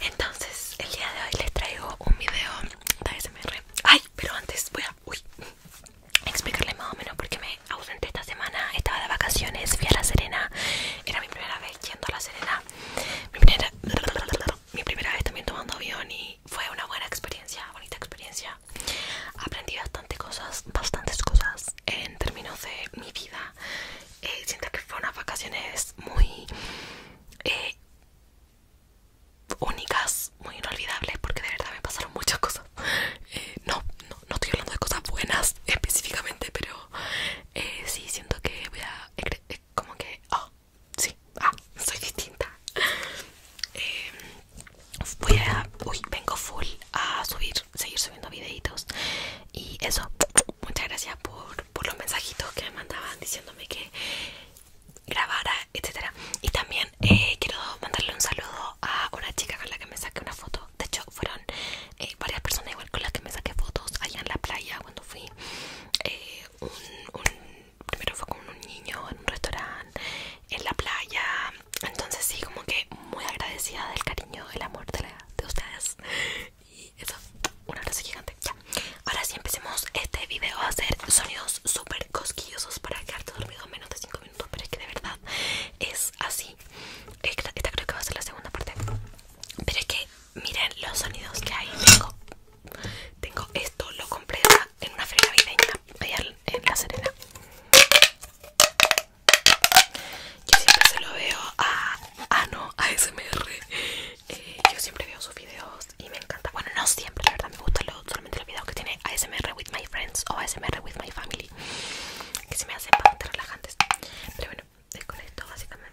Entonces, el día de hoy les traigo un video de ASMR. Ay, pero antes voy a explicarles más o menos porque me ausente esta semana. Estaba de vacaciones, fui a La Serena. Era mi primera vez yendo a La Serena. Mi primera, mi primera vez también tomando avión y fue una buena experiencia, bonita experiencia. Aprendí bastante cosas, bastantes cosas en términos de mi vida eh, siento que fue unas vacaciones muy eh, únicas, muy inolvidables, porque de verdad me pasaron muchas cosas. Eh, no, no, no estoy hablando de cosas buenas específicamente, pero sí siento que voy a... como que... Ah, sí, ah, soy distinta. Em, voy a... Uy, vengo full a subir, seguir subiendo videitos. Y eso, muchas gracias por por los mensajitos que me mandaban diciéndome que grabara, etcétera. Y también eh, quiero mandarle un saludo a una chica con la que me saqué una foto. De hecho, fueron eh, varias personas igual con las que me saqué fotos allá en la playa cuando fui. Eh, primero fue con un niño en un restaurante, en la playa. Entonces sí, como que muy agradecida del cariño, el amor de ustedes. Y eso, un abrazo gigante. Ahora sí empecemos este video a hacer sonidos súper cosquillosos para que dormido en menos de 5 minutos. Pero es que de verdad es así. Esta, creo que va a ser la segunda parte. Pero es que miren los sonidos que hay. Tengo, tengo esto, lo compré en una feria en La Serena. Yo siempre se lo veo a... Ah, no, a eh, yo siempre veo sus videos y me encanta. Bueno, no siempre, la verdad, me gusta solamente los videos que tiene ASMR with my friends o ASMR with my family. Que se me hacen bastante relajantes. Pero bueno, es con esto básicamente.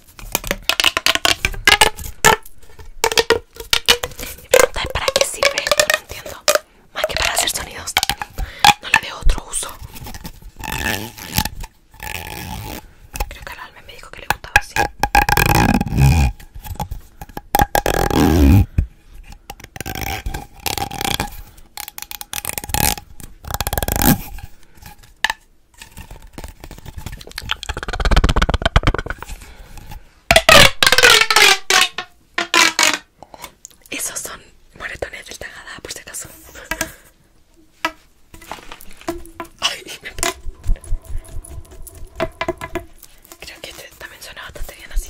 Mi pregunta es para qué sirve esto, no entiendo. Más que para hacer sonidos. No le veo otro uso. Creo que al alma me dijo que le gustaba así. Esos son moretones del Tagada, por si acaso. Creo que este también suena bastante bien así.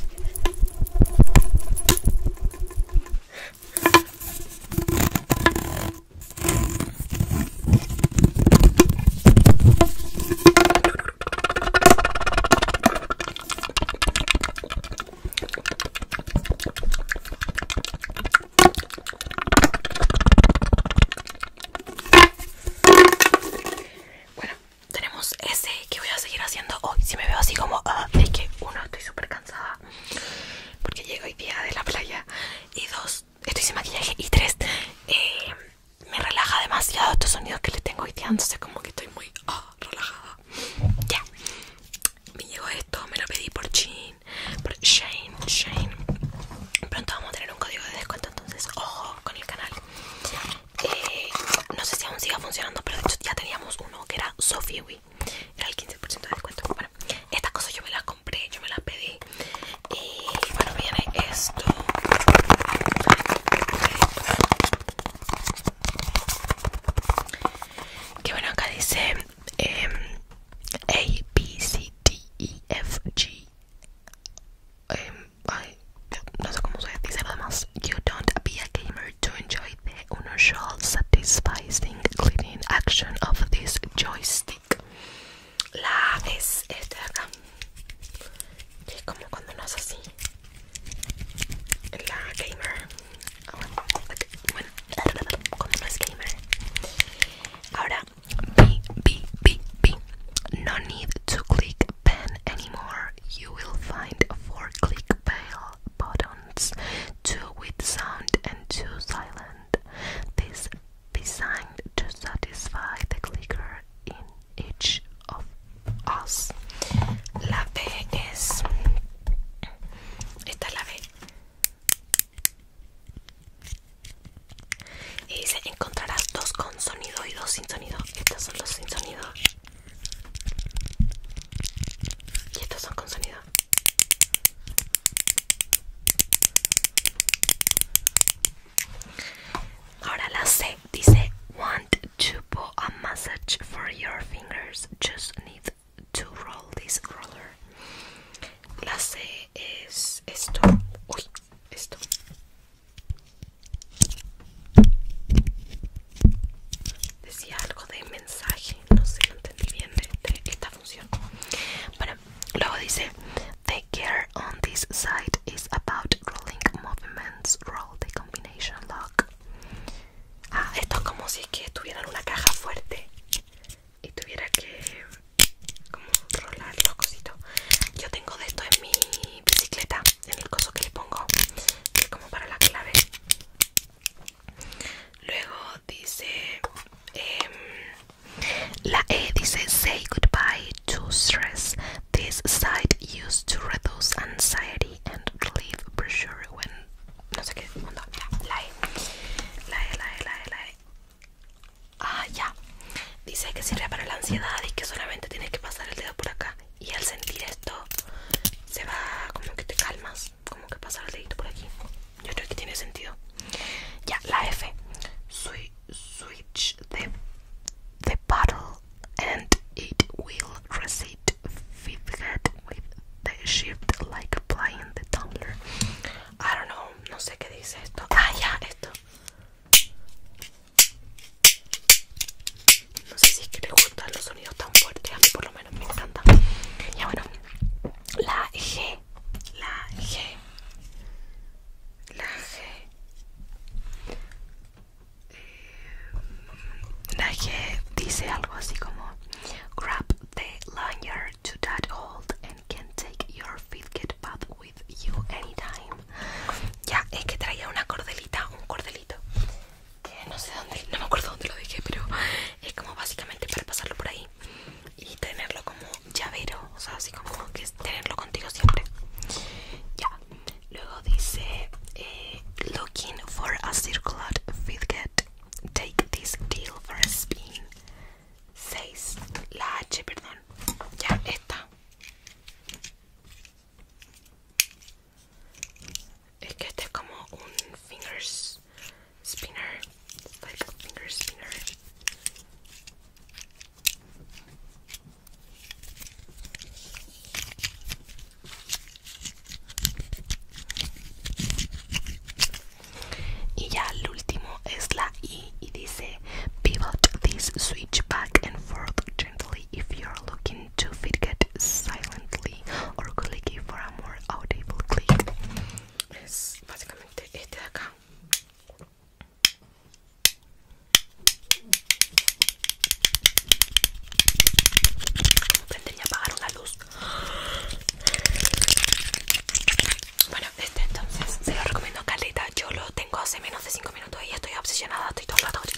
Bueno, tenemos ese que voy a seguir haciendo hoy. Si me veo así como, ah, es que uno, estoy súper cansada porque llego hoy día de la playa y dos, estoy sin maquillaje y tres, eh, me relaja demasiado estos sonidos que le tengo haitiando, como que estoy muy ah, relajada. Ya, me llegó esto, me lo pedí por por Shane, Shane. Pronto vamos a tener un código de descuento, entonces ojo con el canal. Eh, no sé si aún siga funcionando, pero de hecho ya teníamos uno que era Sophie era el 15% de descuento Bueno, estas cosas yo me las compré Yo me las pedí Y bueno, viene esto Que bueno, acá dice em, A, B, C, D, E, F, G em, no sé cómo se dice nada You don't be a gamer to enjoy the unusual, satisfying cleaning, action of this joystick. La es esta de como cuando no es así. La gamer, ah, cuando es gamer. Ahora, No need to click pen anymore. You will find four click pale buttons, two with sound and two silent. This designed to satisfy the clicker in each of us. La B es esta la B. Y dice encontrarás dos con sonido y dos sin sonido. Estos son los sin sonido. Y estos son con sonido. Ahora la C dice want to pull a massage for your fingers. Just need to roll this roller. La C es esto. Uy, esto. Decía algo de no sé no entendí bien de, esta función bueno luego dice the gear on this side is about rolling movements roll the combination lock ah esto es como si es que tuvieran una caja fuerte y tuviera que como rolar los cositos yo tengo de esto en mi bicicleta en el coso que le pongo que es como para la clave Luego dice em, la E dice say goodbye to stress. This site used to reduce anxiety and relieve pressure when no sé qué La E, la E, la E, la E, la e. Ah, ya. Dice que sirve para la ansiedad y que solamente tienes que pasar el dedo por acá. Y al sentir esto, se va como que te calmas como que pasar el dedito por aquí yo creo que tiene sentido ya la F switch the, the bottle and it will Reset fifth head with the shift like applying the tumbler I don't know no sé qué dice esto ah ya esto no sé si es que te gustan los sonidos tan fuertes, a mí por lo menos me encanta Ya bueno, la G, la G, la G. Eh, la G dice algo así como Grab the lanyard to that hold and can take your fidget bath with you anytime. Ya, es que traía una cordelita, un cordelito que no sé dónde, no me acuerdo dónde lo dije, pero es como básicamente para pasarlo por ahí y tenerlo como llavero, o sea, así como que tenerlo contigo siempre. Ya, luego dice: eh, Looking for a circular fidget, take this deal for a spin. 6, la H, perdón, ya, esta. Es que este es como un fingers spinner. like a spinner. Y ya el último es la I y dice Pivot this switch back and forth gently if you're looking to to get silently or clicky for a more audible click. Es básicamente este de acá. Tendría que apagar una luz. Bueno, este entonces se lo recomiendo, a Caleta. Yo lo tengo hace menos de 5 pero todavía estoy obsesionada, estoy toda la noche.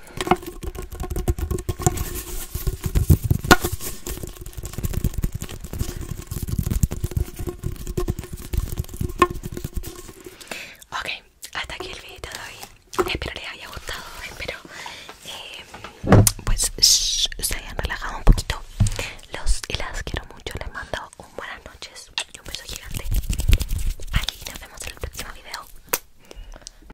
Ok, hasta aquí el video de hoy. Espero les haya gustado. Espero em, pues se hayan relajado un poquito. Los y las quiero mucho. Les mando un buenas noches y un beso gigante. Y nos vemos en el próximo video.